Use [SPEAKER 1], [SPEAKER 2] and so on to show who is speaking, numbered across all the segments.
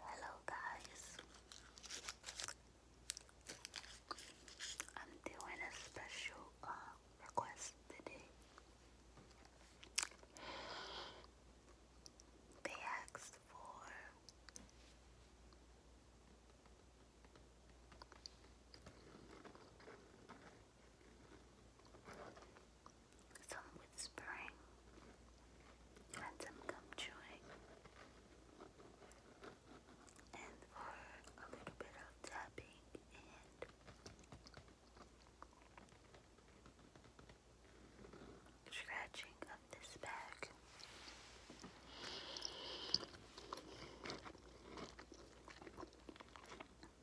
[SPEAKER 1] Hello, guys. I'm doing a special uh, request today. They asked for some whispering, and some gum chewing, and a little bit of tapping and scratching of this bag.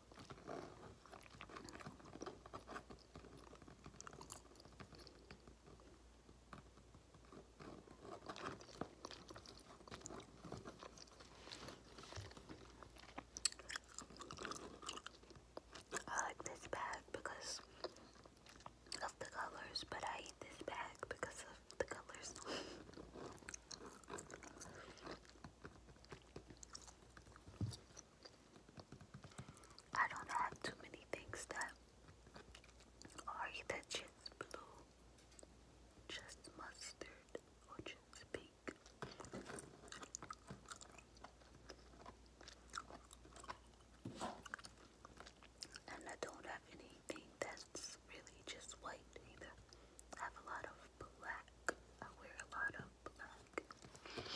[SPEAKER 1] I like this bag because of the colors, but I eat this bag because of the colors. I don't have too many things that are either just blue, just mustard, or just pink. And I don't have anything that's really just white either. I have a lot of black. I wear a lot of black.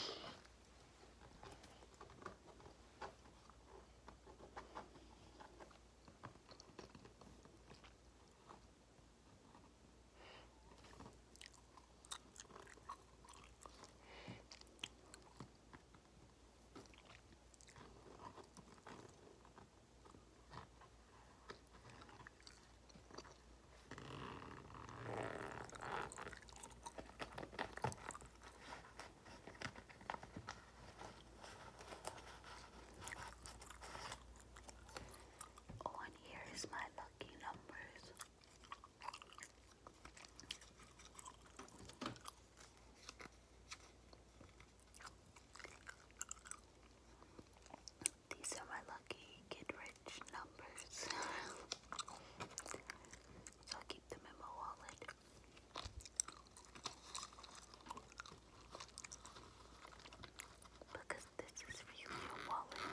[SPEAKER 1] Oh, and here is my lucky numbers. These are my lucky get rich numbers. so i keep them in my wallet. Because this is for you, wallet.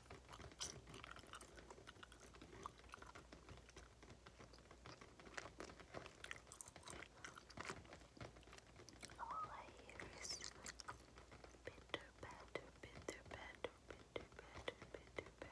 [SPEAKER 1] All I hear is bitter, better, bitter, better, bitter, better, bitter, better.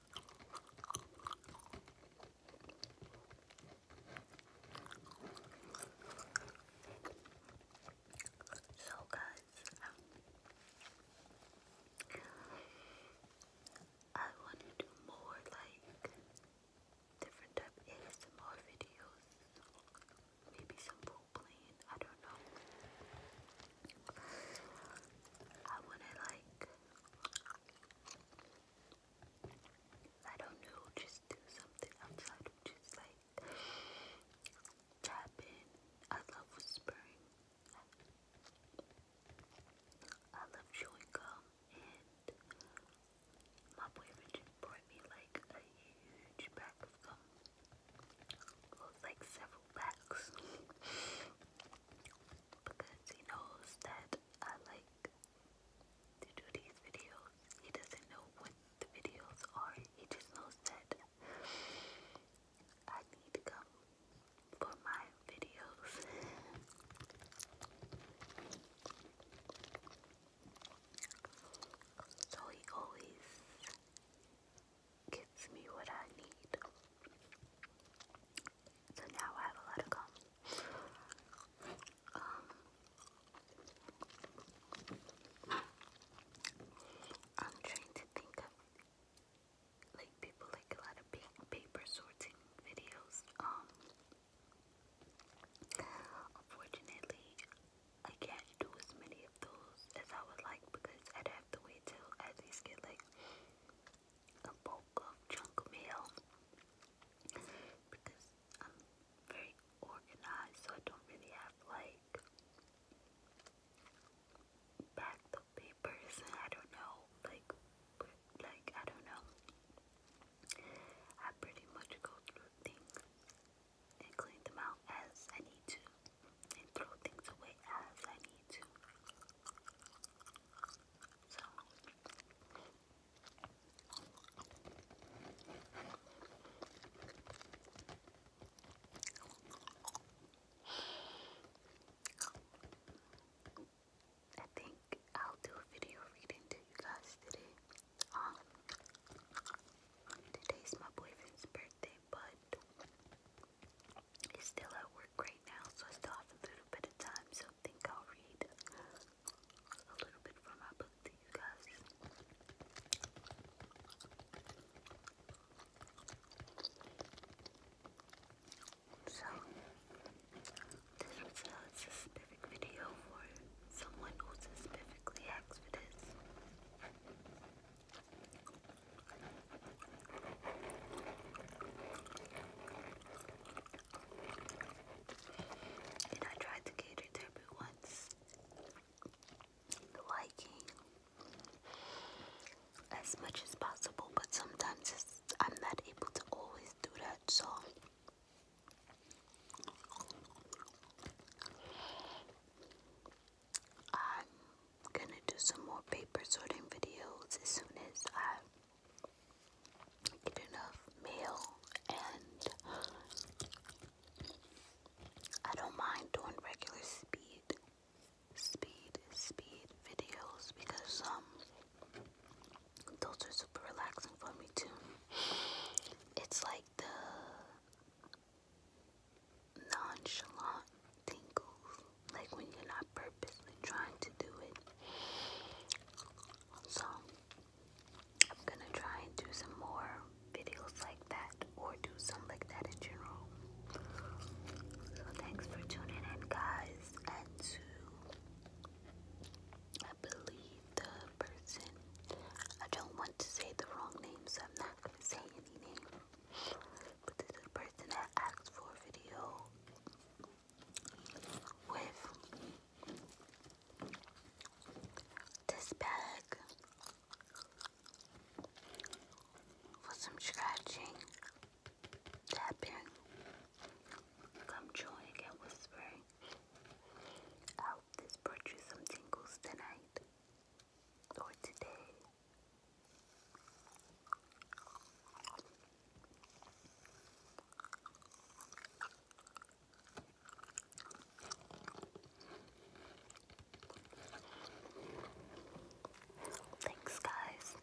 [SPEAKER 1] So, guys, I want to do more like different type of ASMR videos. Maybe some role playing. I don't know. I wouldn't like. I don't know, just do something outside just like tapping. I love whispering. I love chewing gum, and my boyfriend just brought me like a huge pack of gum like several packs because he knows that I like to do these videos. He doesn't know what the videos are, he just knows that I need to come for my videos. So he always gets me what I need. So now I have a lot of gum. Um, I'm trying to think of like people like a lot of paper sorting videos. Um, unfortunately, I can't do as many those as I would like because I'd have to wait till at least get like a bulk of junk mail because I'm very organized so I don't really have like backed up papers and I don't know like like I don't know I pretty much go through things and clean them out as I need to and throw things away as I need to. So I think I'll do a video reading to you guys today. Um, today's my boyfriend's birthday but it's still at work right now, so I still have a little bit of time, so I think I'll read a little bit from my book to you guys. So, this was a specific video for someone who specifically asked for this. And I tried to cater to everyone's liking as much as possible, but sometimes I'm not able to always do that, so. I'm gonna do some more paper sorting videos as soon as I get enough mail and I don't mind doing regular speed speed speed videos because um those are super relaxing for me too. It's like the nonchalant tingles, like when you're not purposely trying to do it. So, I'm gonna try and do some more videos like that, or do some like that in general. So, thanks for tuning in, guys, and to I believe the person. I don't want to say the wrong names, so I'm not gonna say any name. But this person asked for a video with this bag for some scratching, tapping, come joining and whispering. I hope this brought you some tingles tonight or today. Thanks, guys.